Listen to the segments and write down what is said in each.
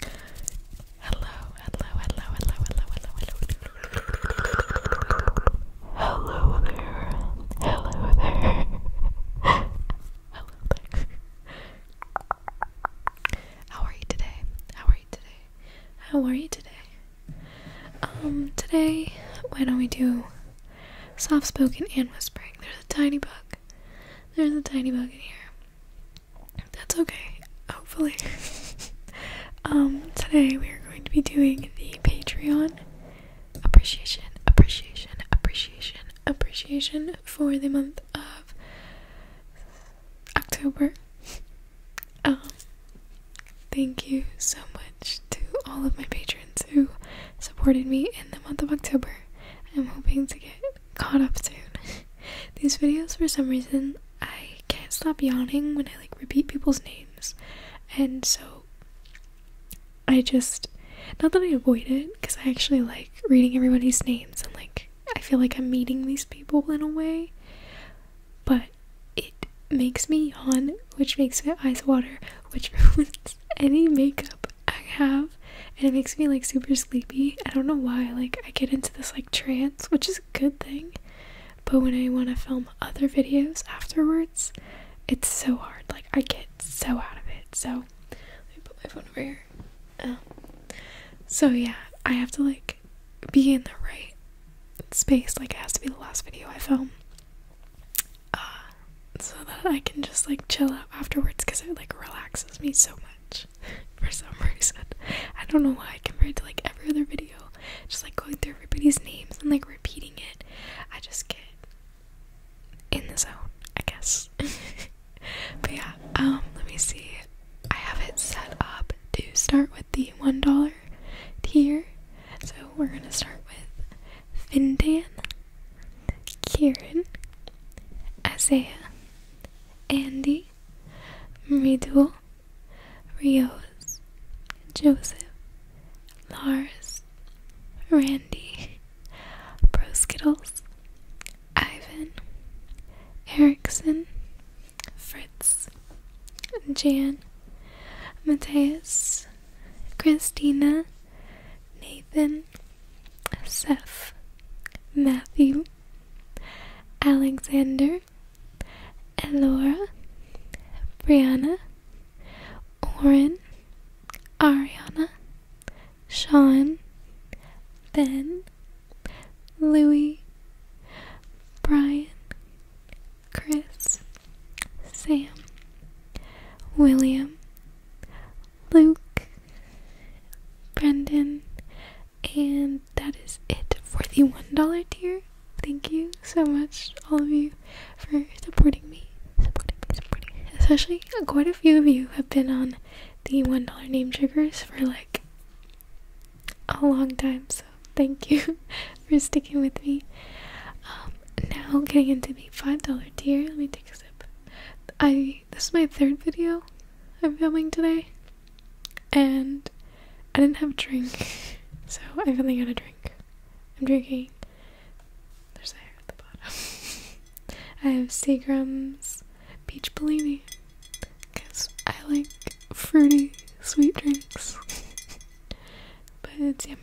Hello, hello, hello, hello, hello, hello, hello. there. Hello there. hello there. How are you today? How are you today? How are you today? Um, today, why don't we do soft spoken and whispering? There's a tiny book there's a tiny bug in here. That's okay, hopefully. um, today we are going to be doing the Patreon appreciation, appreciation, appreciation, appreciation for the month of October. Um, thank you so much to all of my patrons who supported me in the month of October. I'm hoping to get caught up soon. These videos, for some reason, I can't stop yawning when I like repeat people's names, and so I just not that I avoid it because I actually like reading everybody's names and like I feel like I'm meeting these people in a way, but it makes me yawn, which makes my eyes water, which ruins any makeup I have and it makes me like super sleepy. I don't know why, like I get into this like trance, which is a good thing. But when I want to film other videos afterwards, it's so hard. Like I get so out of it. So let me put my phone over here. Um, so yeah, I have to like be in the right space. Like it has to be the last video I film. Uh, so that I can just like chill out afterwards because it like relaxes me so much for some reason. I don't know why compared to like every other video, just like going through everybody's names and like repeating it. I just get in the zone, I guess. but yeah, um, let me see. I have it set up to start with the one dollar tier, so we're gonna start with Finnan, Kieran, Isaiah, Andy, Mridul, Rios, Joseph, Lars, Randy, Broskittles, Ivan, Erickson, Fritz, Jan, Matthias, Christina, Nathan, Seth, Matthew, Alexander, Elora, Brianna, Oren, Ariana, Sean, Ben, Louis, Brian, Chris, Sam, William, Luke, Brendan, and that is it for the $1 tier. Thank you so much, all of you, for supporting me. Supporting me, supporting me. Especially quite a few of you have been on the $1 name triggers for like a long time, so thank you for sticking with me. Um, now getting into the $5 dear. Let me take a sip. I this is my third video I'm filming today, and I didn't have a drink, so I finally got a drink. I'm drinking. There's a hair at the bottom. I have Seagram's peach Bellini because I like fruity sweet drinks, but it's yummy.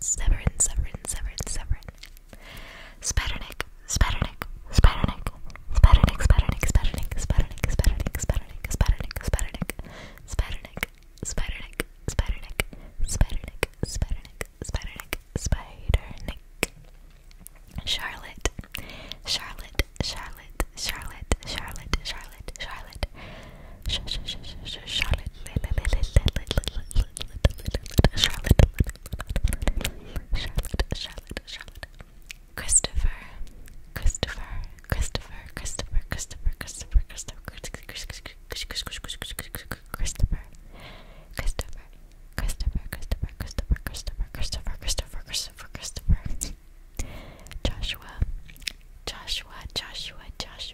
Severin, Severin, Severin, Severin. Spidernick, Spidernick, Spidernick, Spidernick, Spidernick, Spidernick, Spidernick, Spidernick, Spidernick, Spidernick, Spidernick, Spidernick, Spidernick, Spidernick, Spidernick, Spidernick, Spidernick, Spidernick. Charlotte, Charlotte, Charlotte, Charlotte, Charlotte, Charlotte, Charlotte, Charlotte, Charlotte, Charlotte, Charlotte, Christopher, Christopher, Christopher, Christopher, Christopher, Christopher, Christopher, Christopher, Christopher. Christopher, Christopher, Christopher, Christopher, Christopher, Christopher, Christopher, Christopher, Joshua, Joshua, Joshua, Joshua,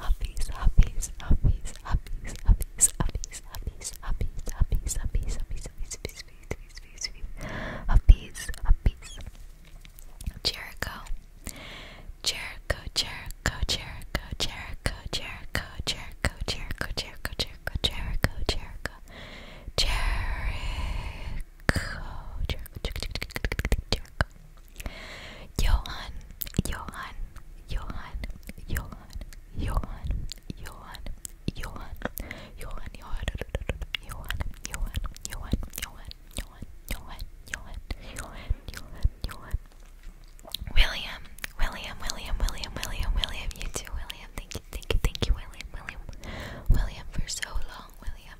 Huppies, huppies, huppies, huppies, huppies, huppies, huppies, huppies, huppies, huppies, huppies, huppies, huppies, huppies, huppies, Jericho, Jericho, Jericho, Jericho, Jericho, Jericho, Jericho, Jericho, Jericho, Jericho, Jericho, Jericho, Jericho, Jericho, Jericho, Jericho, Jericho, Johan, Johan, Johan, Johan, Johan, Johan, Johan, Johan, Johan, Johan, Johan, Johan, Johan, Johan, Johan, Johan, Johan, Johan, Johan. William, William, William, William, William, William, you too, William. Thank you, thank you, thank you, William, William, William for so long, William.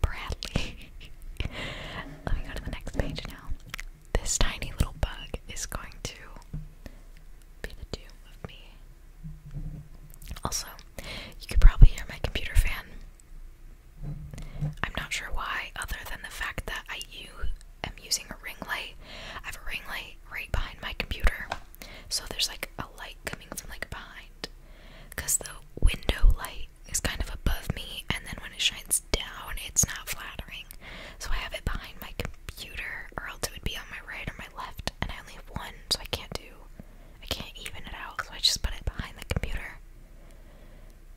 Bradley. Let me go to the next page now. This tiny little bug is going to be the doom of me. Also, you could probably hear my computer fan. I'm not sure why, other than the fact that I am using a ring light. I have a ring light right behind my computer, so there's like a light coming from like behind because the window light is kind of above me, and then when it shines down, it's not flattering. So I have it behind my computer, or else it would be on my right or my left, and I only have one, so I can't do, I can't even it out, so I just put it behind the computer.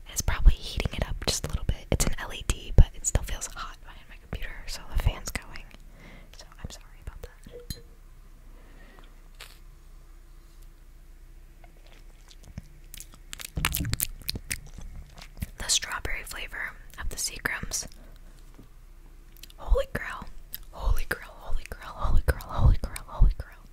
And it's probably heating it up just a little bit. It's an LED, but it still feels hot behind my computer, so the fan's going. So I'm sorry about that. The strawberry flavor of the Seagrams. Holy grail. Holy grail, holy grail, holy grail, holy grail, holy grail.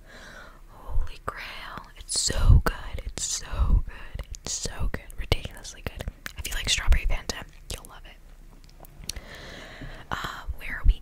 Holy grail. It's so good. It's so good. It's so good. Ridiculously good. If you like strawberry Fanta, you'll love it. Uh, where are we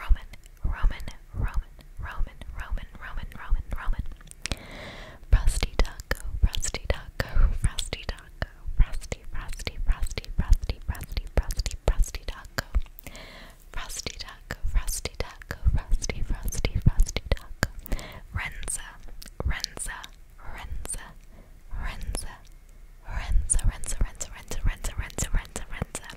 Roman, Roman, Roman, Roman, Roman, Roman, Roman, Roman. Frosty taco, frosty taco, frosty taco, frosty, frosty, frosty, frosty, frosty, frosty, frosty taco. Frosty taco, frosty taco, frosty, frosty, frosty taco. Renza, Renza, Renza, Renza, Renza, Renza, Renza, Renza, Renza, Renza, Renza, Renza.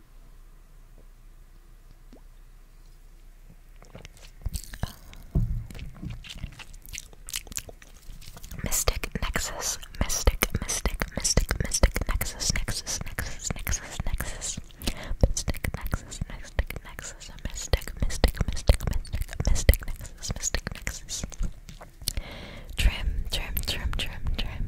Uh, Mystic Nexus, Mystic, Mystic, Mystic, Mystic Nexus, Nexus, Nexus, Nexus, Nexus, Mystic Nexus, Mystic Nexus, Mystic, Mystic, Mystic, Mystic, Mystic Nexus, Mystic Nexus. Trim, trim, trim, trim, trim,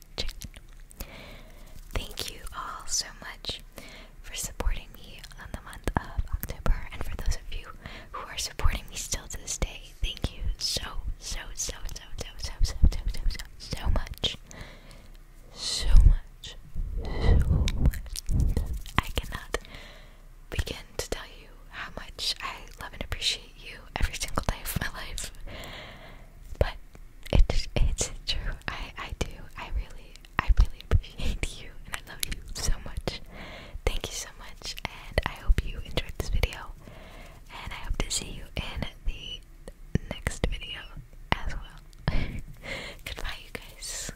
chicken. Thank you all so much for supporting me on the month of October, and for those of you who are supporting me still to this day, thank you so, so, so, so, so, so, so, so, so, so, so much. So much. So much. I cannot begin to tell you how much I love and appreciate you every single day of my life but it it's true. I I do. I really I really appreciate you and I love you so much. Thank you so much, and I hope you enjoyed this video. And I hope to see you in the next video as well. Goodbye, you guys.